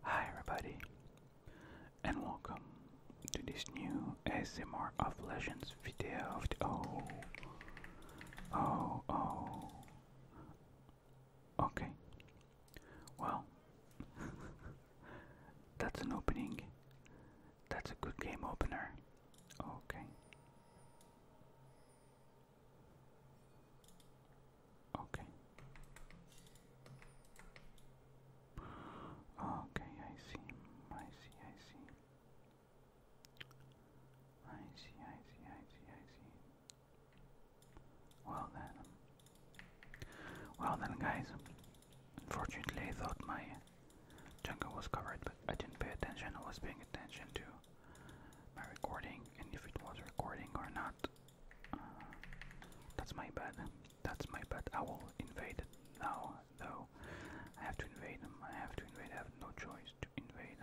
Hi, everybody, and welcome to this new ASMR of Legends video of oh, oh, oh, okay. Well, that's an opening, that's a good game opener, okay. Okay. Okay, I see. I see, I see. I see, I see, I see, I see. Well then. Well then, guys. Unfortunately, I thought my jungle was covered, but I didn't pay attention. I was paying attention to my recording and if it was recording or not. Uh, that's my bad. That's my bad. I will invade it now, though. I have to invade them. I have to invade. I have no choice to invade.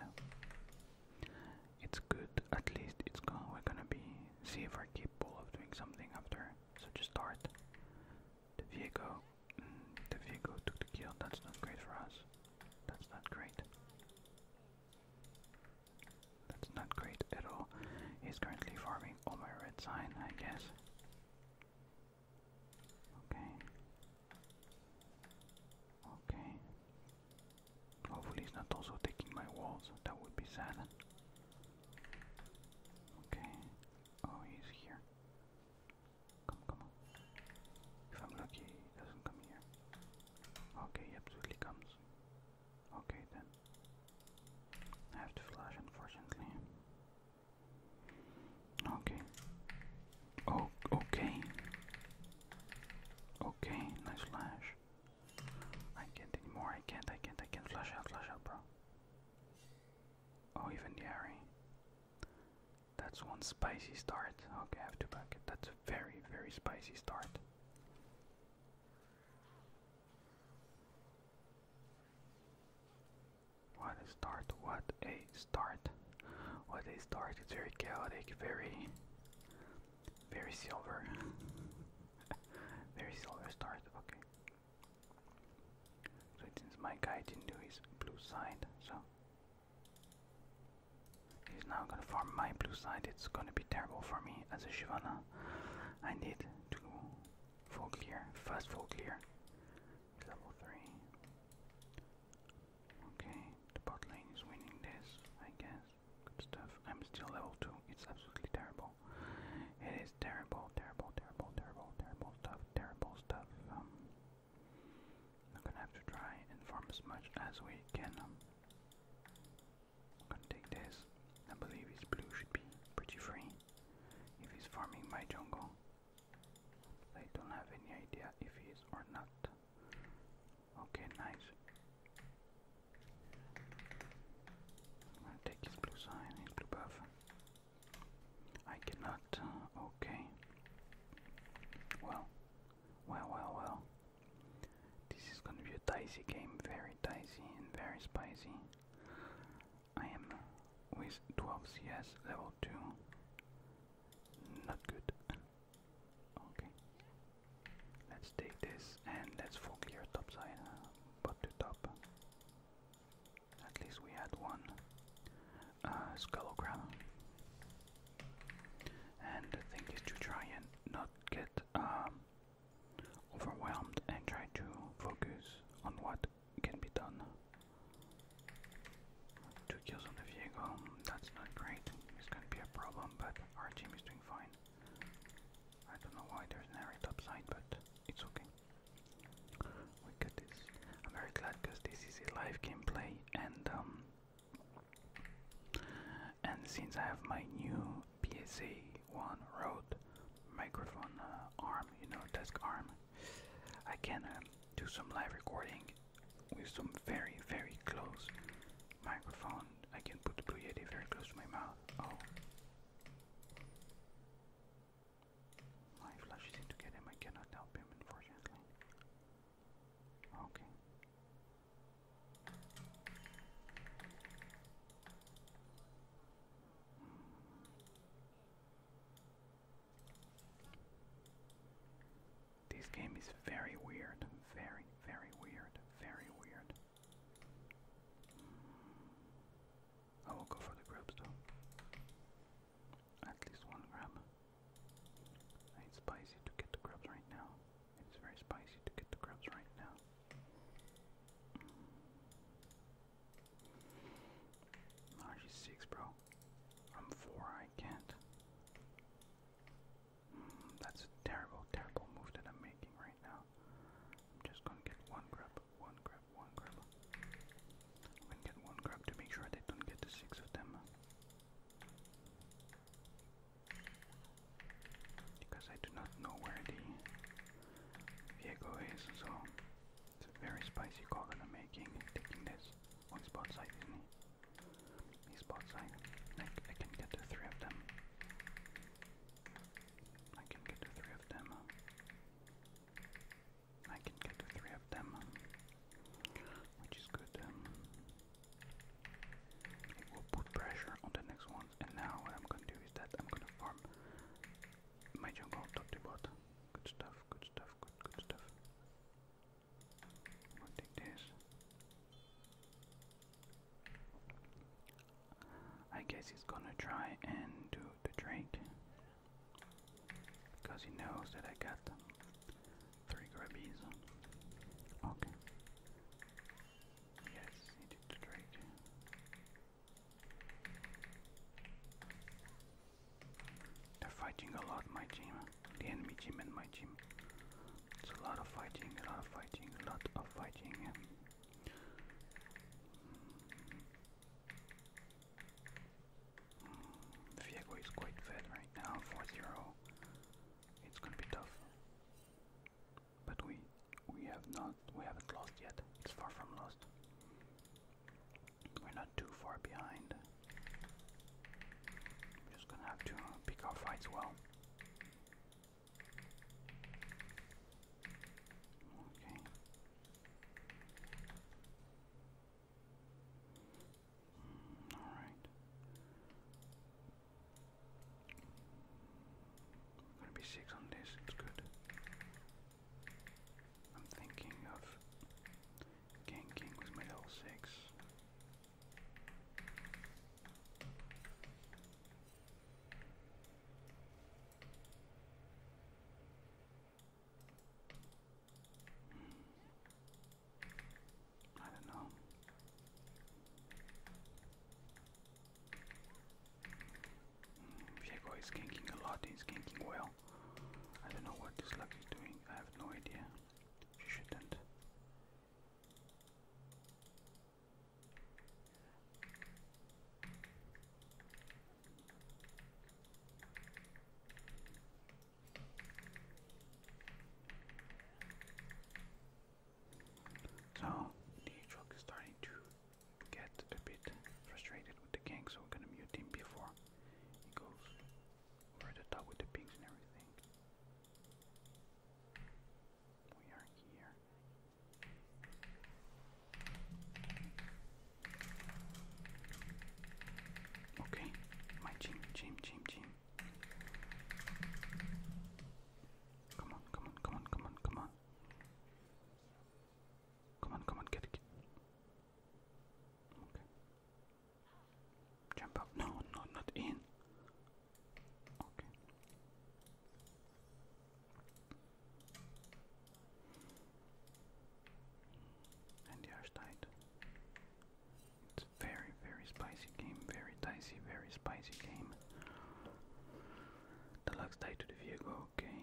It's good. At least it's gone. We're gonna be see if we're capable of doing something after. So just start. The Viego. Mm, the Viego took the kill. That's not great for us. That's not great. That's not great at all. He's currently farming all my red sign, I guess. Okay. Okay. Hopefully he's not also taking my walls. That would be sad. Okay. Oh, he's here. Come, come on. If I'm lucky, he doesn't come here. Okay, he absolutely comes. Okay then. I have to flash unfortunately. Okay. Oh okay. Okay, nice flash. I can't anymore, I can't, I can't, I can't flash out, flash out, bro. Oh even the Ari. That's one spicy start. Okay, I have to back it. That's a very, very spicy start. What a start, what a start. What a start, it's very chaotic, very very silver. very silver start, okay. So since my guy didn't do his blue side, so he's now gonna farm my blue side, it's gonna be terrible for me as a Shivana. I need to full clear, fast full clear. Level 3. Okay, the bot lane is winning this, I guess. stuff. I'm still level 2. It's absolutely terrible. It is terrible, terrible, terrible, terrible, terrible stuff, terrible stuff. Um, I'm gonna have to try and farm as much as we can. Um, Gonna take this. I believe his blue should be pretty free if he's farming my jungle. I don't have any idea if he is or not. Okay, nice. gonna take his blue sign, his blue buff. I cannot. Uh, okay. Well, well, well, well. This is gonna be a dicey game, very dicey and very spicy. I am with 12 CS level 2. Not good. okay. Let's take this and let's full clear topside, uh, bot to top. At least we had one uh, And the thing is to try and not get um, overwhelmed and try to focus on what can be done. Two kills on the vehicle, that's not great. It's gonna be a problem, but our team is doing fine. I don't know why there's an area topside, but it's okay. We got this. I'm very glad because this is a live gameplay and um and since I have my new PSA-1 road microphone uh, arm, you know, desk arm. I can um, do some live recording with some very, very close microphone. I can put the Blue Yeti very close to my mouth. Oh. My flash is to get him. I cannot help him, unfortunately. Okay. This game is very weird, very, very weird, very weird. I will go for the grabs though. At least one grab. I need spicy to get the grubs right now. It's very spicy to get the grubs right now. Mm. RG6, bro. I'm 4, I can't. Mm, that's a terrible, terrible move that I'm making right now. I'm just gonna get one grub, one grub, one grub. i get one grub to make sure they don't get the six of them because I do not know where the Viego is, so it's a very spicy call I'm making, taking this on spot side, isn't side. I, I can get the three of them. I can get the three of them. I can get the three of them, which is good. Um, will put pressure on the next one. And now what I'm gonna do is that I'm gonna farm my jungle top to bottom. Good stuff, good stuff, good good stuff. take this. I guess he's gonna try and do the drink Because he knows that I got three grubby's. Okay. Yes, he did They're fighting a lot, my team. The enemy team and my team. It's a lot of fighting, a lot of fighting, a lot of fighting. Viego is quite fed right now, 4 It's gonna be tough but we we have not we haven't lost yet. It's far from lost. We're not too far behind. We're just gonna have to uh, pick our fights well. Okay. Mm, all right. Gonna be six on this, it's good. I'm thinking of ganking with my six. Hmm. I don't know. Mm, Shego is ganking a lot, he's ganking well. I don't know what this luck is doing, I have no idea. She shouldn't. So the truck is starting to get a bit frustrated with the gang, so we're gonna mute him before he goes over the top with the pings and everything. We are here. Okay, my team, team, team, team. Come on, come on, come on, come on, come on. Come on, come on, get it. Okay. Jump up. No, no, not in. Okay. And the air's tight. It's a very, very spicy game. Very dicey, very spicy game game. Deluxe tie to the Viego, okay.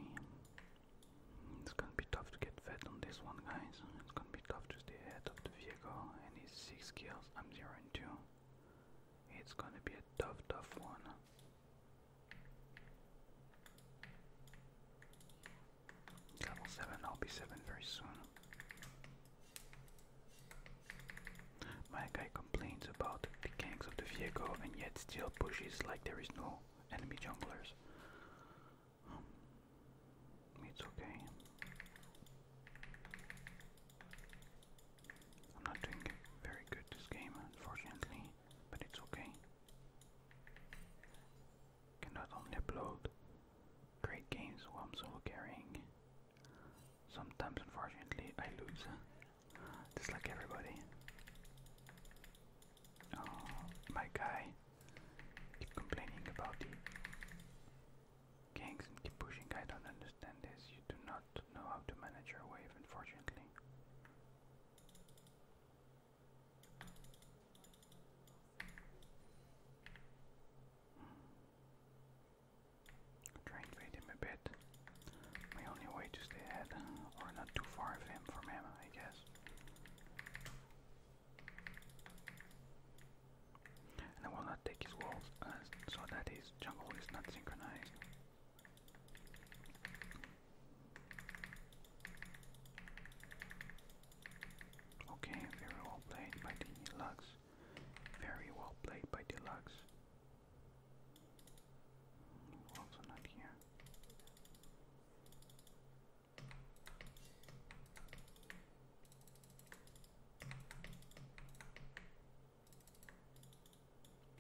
It's gonna be tough to get fed on this one, guys. It's gonna be tough to stay ahead of the Viego and his 6 kills. I'm 0 and 2. It's gonna be a tough, tough one. Level 7, I'll be 7 very soon. My guy complains about the ganks of the vehicle and yet still pushes like there is no enemy junglers. Um, it's okay. I'm not doing very good this game, unfortunately, but it's okay. Cannot upload great games while I'm solo carrying Sometimes, unfortunately, I lose, just like everybody. Oh, my guy, keep complaining about the ganks and keep pushing. I don't understand this. You do not know how to manage your wave, unfortunately. Try and bait him a bit. My only way to stay ahead, or not too far of him from him, I guess. And I will not take his walls, uh, so that his jungle is not synchronized. Okay, very well played by the Lux. Very well played by the Lux. Also not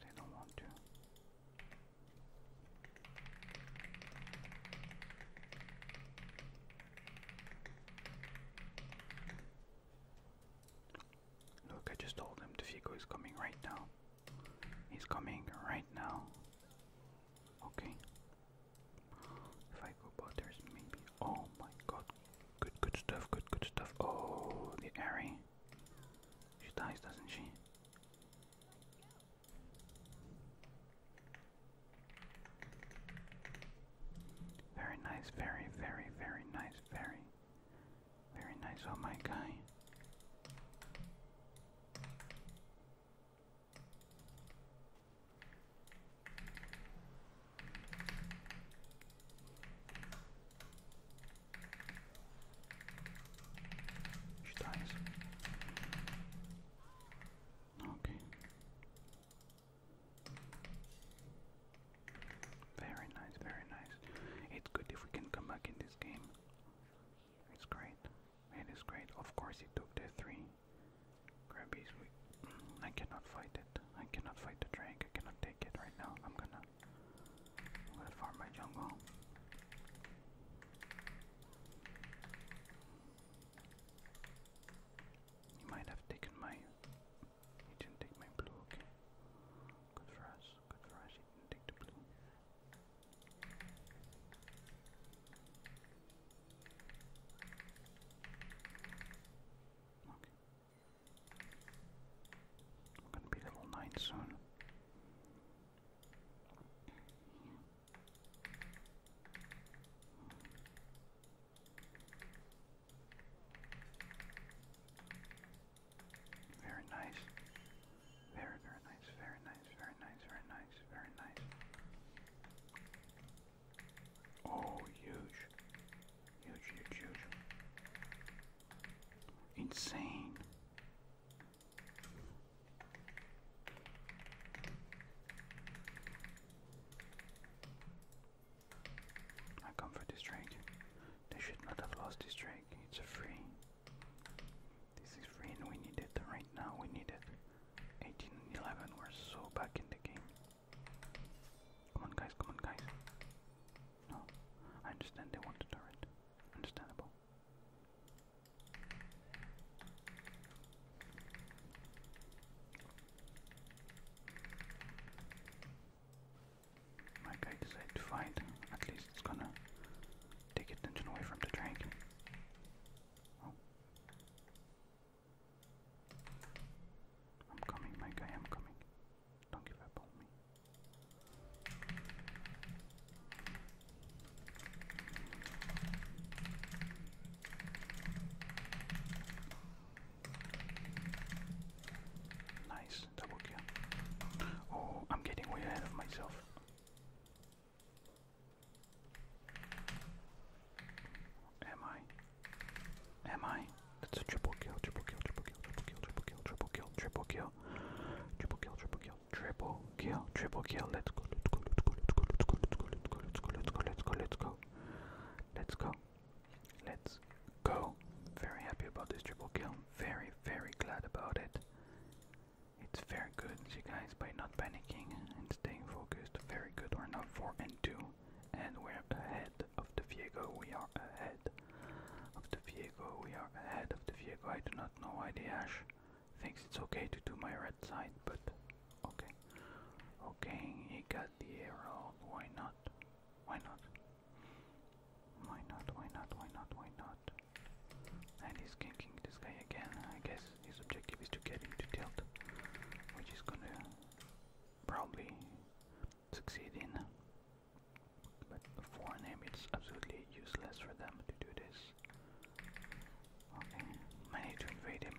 They don't want to. Look, I just told him Defico is coming right now. He's coming right now. Okay. If I go but there's maybe oh my god. Good good stuff, good good stuff. Oh the Airy. She dies, doesn't she? Very nice, very, very, very nice, very very nice, oh my guy. She dies. Okay. Very nice, very nice. It's good if we can come back in this game. It's great. It is great. Of course, he took the three. Grabbies, mm, I cannot fight it. I cannot fight the drake. cannot take it right now. I'm gonna. i farm my jungle. You might have taken my he didn't blue, Good for us, good for us, he didn't blue. Okay. I'm gonna 9 soon. Very nice. Very, very nice. Very nice. Very nice. Very nice. Very nice. Oh, huge. Huge, huge, huge. Insane. I come for this drake. They should not have lost this drake. It's a free. This is free and we need it right now. We need it. 18 We're so back in the game. Come on, guys. Come on, guys. No. I understand they want the turret. Understandable my guy decided to fight. At least it's gonna take attention away from the drink. Oh. I'm coming, my I'm coming. Don't give up on me. Nice, double kill. Oh, I'm getting way ahead of myself. Am I? Am I? That's a triple kill, triple kill, triple kill, triple kill, triple kill, triple kill, triple kill, triple kill, triple kill, triple kill, let's go, let's go, let's go, let's go, let's go, let's go, let's go, Let's go. Very happy about this triple kill. Very, very glad about it. It's very good, you guys, by not panicking and staying focused. Very good. We're now 4 and 2, and we're ahead of the Viego. We are ahead of the Viego. We are ahead of the Viego. I do not know why the Ash thinks it's okay to do my red side, but okay. Okay, he got the arrow. Why not? Why not? Why not? Why not? Why not? Why not? And he's ganking this guy again. I guess his objective is to get him to tilt, which is gonna probably succeed in. But for an it's absolutely useless for them to do this. Okay, I need to invade him.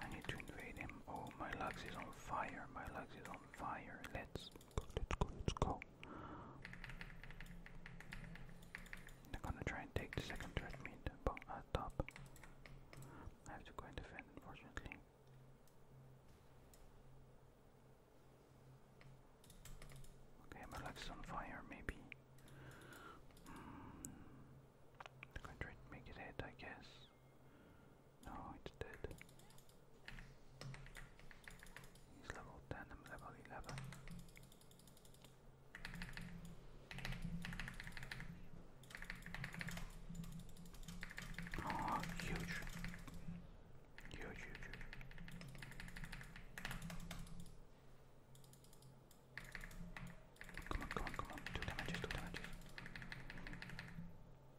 I need to invade him. Oh, my legs is on fire. My Lux is fire. Let's go, let's go, let's go. They're gonna try and take the second treadmill but at top. I have to go and defend unfortunately. Okay, Merlax is on fire maybe. Hmm. gonna try to make it hit I guess. No, it's dead. He's level 10, I'm level 11. Oh, huge. Huge, huge, Come on, come on, come on. Two damages, two damages.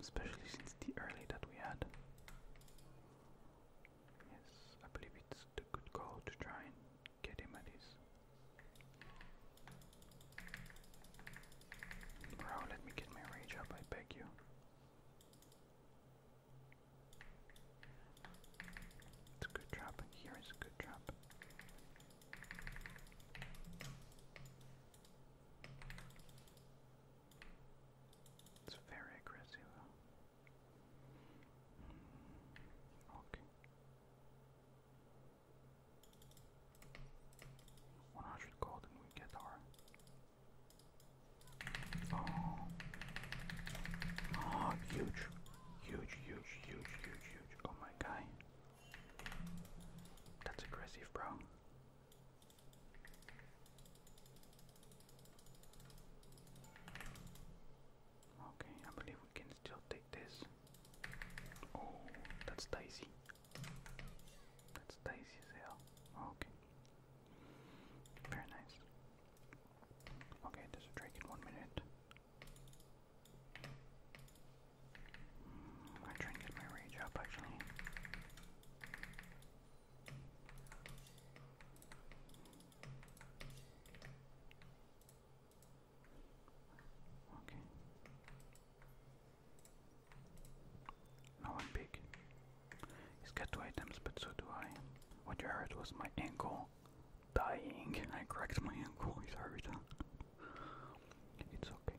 especially since the early that we had. Yes, I believe it's the good call to try and get him at his. Bro, let me get my rage up, I beg you. It's a good trap, here is a good trap. It's very aggressive. Hmm. okay. 100 gold and we get our... Oh. Oh, huge. Huge, huge, huge, huge, huge. Oh my guy. That's aggressive, bro. Okay, I believe we can still take this. Oh, that's dicey. That's dicey as hell. Okay. Very nice. Okay, there's a drake in one minute. I'm gonna get my rage up actually. Okay. Now i big. He's got two items, but so do I. What you heard was my ankle dying. I cracked my ankle. it's okay.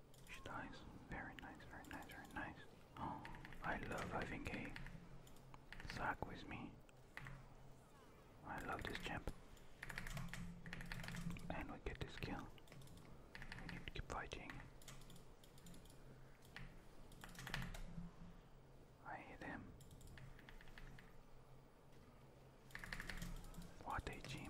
She's nice. Very nice, very nice, very nice. Oh, I love having a sack with me. I love this champ. And we get this kill. We need to keep fighting. I hit him. What a gym.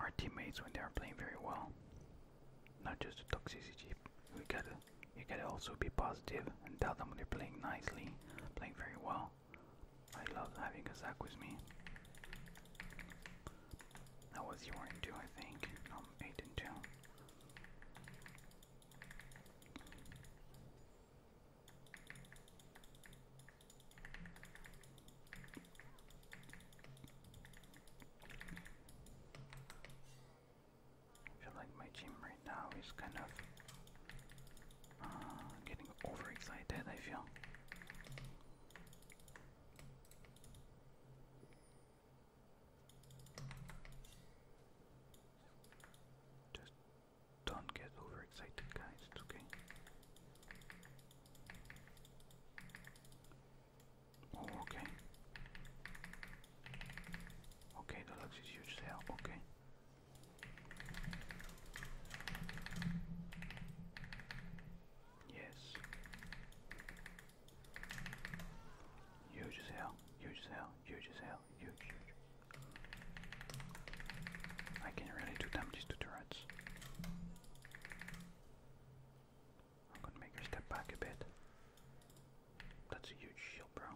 our teammates when they are playing very well. Not just the toxicity. We gotta, you gotta also be positive and tell them when they're playing nicely, playing very well. I love having a Zach with me. That was 0 I think. Um, 8 and 2. I feel like my team right now is kind of uh, getting overexcited, I feel. Just don't get overexcited, guys, it's okay. Oh, okay. Okay, the lux huge sale, okay. Yes. Huge as huge as huge as huge, I can really do damage to turrets. I'm gonna make her step back a bit. That's a huge shield, bro.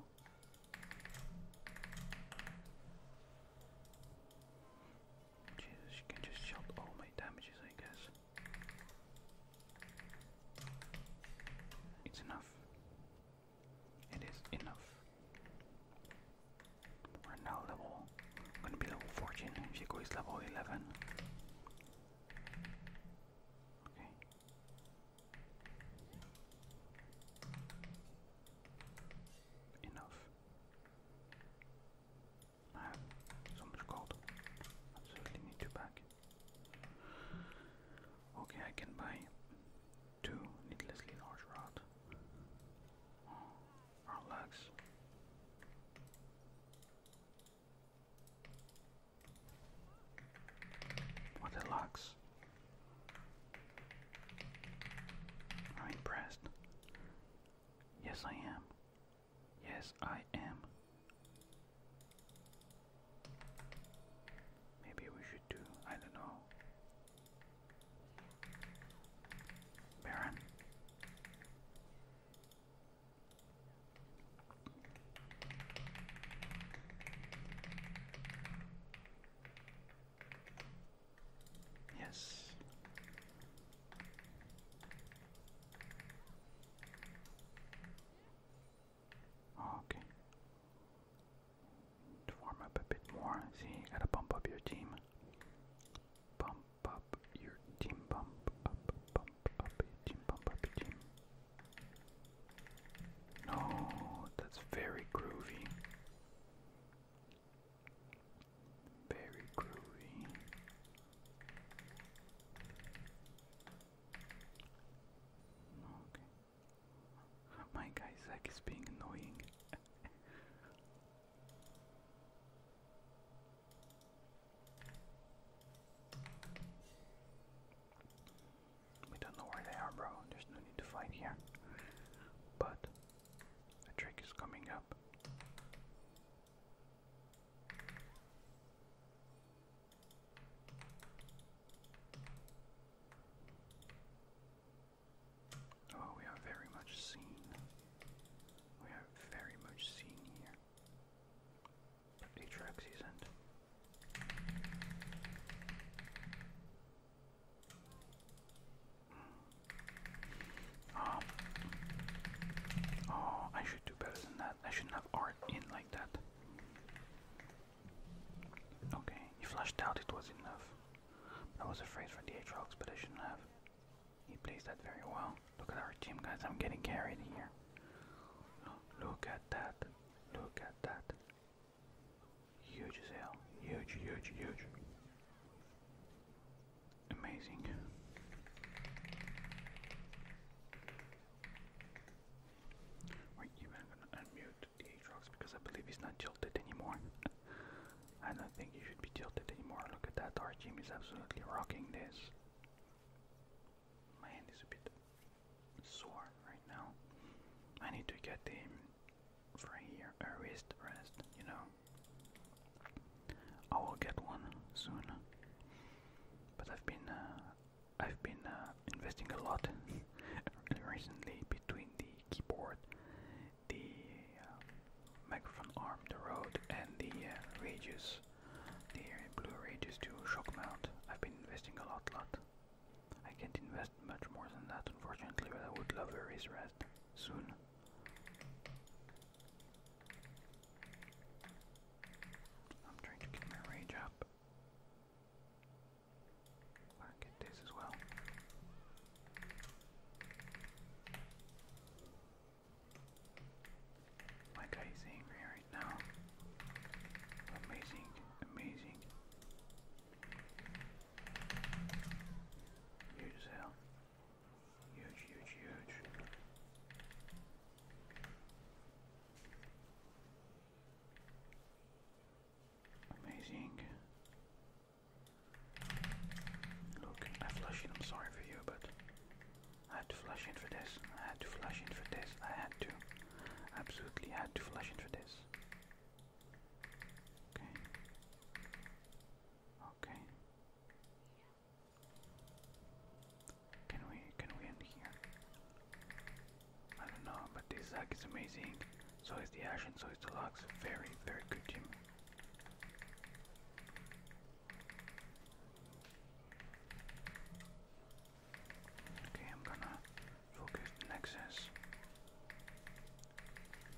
Jesus, you can just shield all my damages, I guess. It's enough. It is enough. We're now level, I'm gonna be level 14, Shiko is level 11. Okay. Enough. I have so much gold. Absolutely need to pack. Okay, I can buy two needlessly large rod. Relax. What a lux. I'm impressed. Yes, I am. Yes, I am. Maybe we should do, I don't know, Baron. Yes. Oh, okay. To warm up a bit more, see, you gotta bump up your team. Pump up your team, pump up, pump up your team, pump up your team. No, that's very groovy. Very groovy. Okay. My guy Zach is being annoying. We don't know where they are, bro. There's no need to fight here. But a trick is coming up. Oh, we are very much seen. We are very much seen here. Pretty tracks he's in. Oh. oh. I should do better than that. I shouldn't have art in like that. Okay, you flashed out, it was enough. I was afraid for the H expedition, have. He plays that very well. Look at our team, guys. I'm getting carried here. Look at that. Look at that. Huge as hell. Huge, huge, huge. Amazing. We're even gonna unmute the Aatrox because I believe he's not tilted anymore. I don't think you should be tilted anymore. Look at that. Our team is absolutely rocking this. My hand is a bit sore right now. I need to get him for here a wrist rest, you know. I will get one soon. But I've been uh, I've been uh, investing a lot recently between the keyboard the um, microphone arm, the Rode, and the uh, Rages, the Blue Rages to shock mount. I've been investing a lot, lot. I can't invest much more than that, unfortunately, but I would love a raise rest soon. I'm trying to get my rage up. I get this as well. My guy is angry right now. Amazing, amazing. Huge as hell. Huge, huge, huge. Amazing. Look, I flush in, I'm sorry for you, but I had to flush in for this. I had to flush in for this. I had to. Absolutely had to flush in for this. Okay. Okay. Can we can we end here? I don't know, but this Zack is amazing. So is the Ashen, so is the Lux. Very, very good team. Okay, I'm gonna focus the nexus.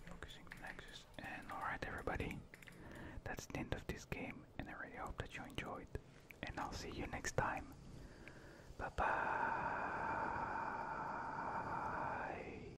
Focusing the nexus. And alright, everybody, that's the end of this game, and I really hope that you enjoyed. And I'll see you next time. Bye bye.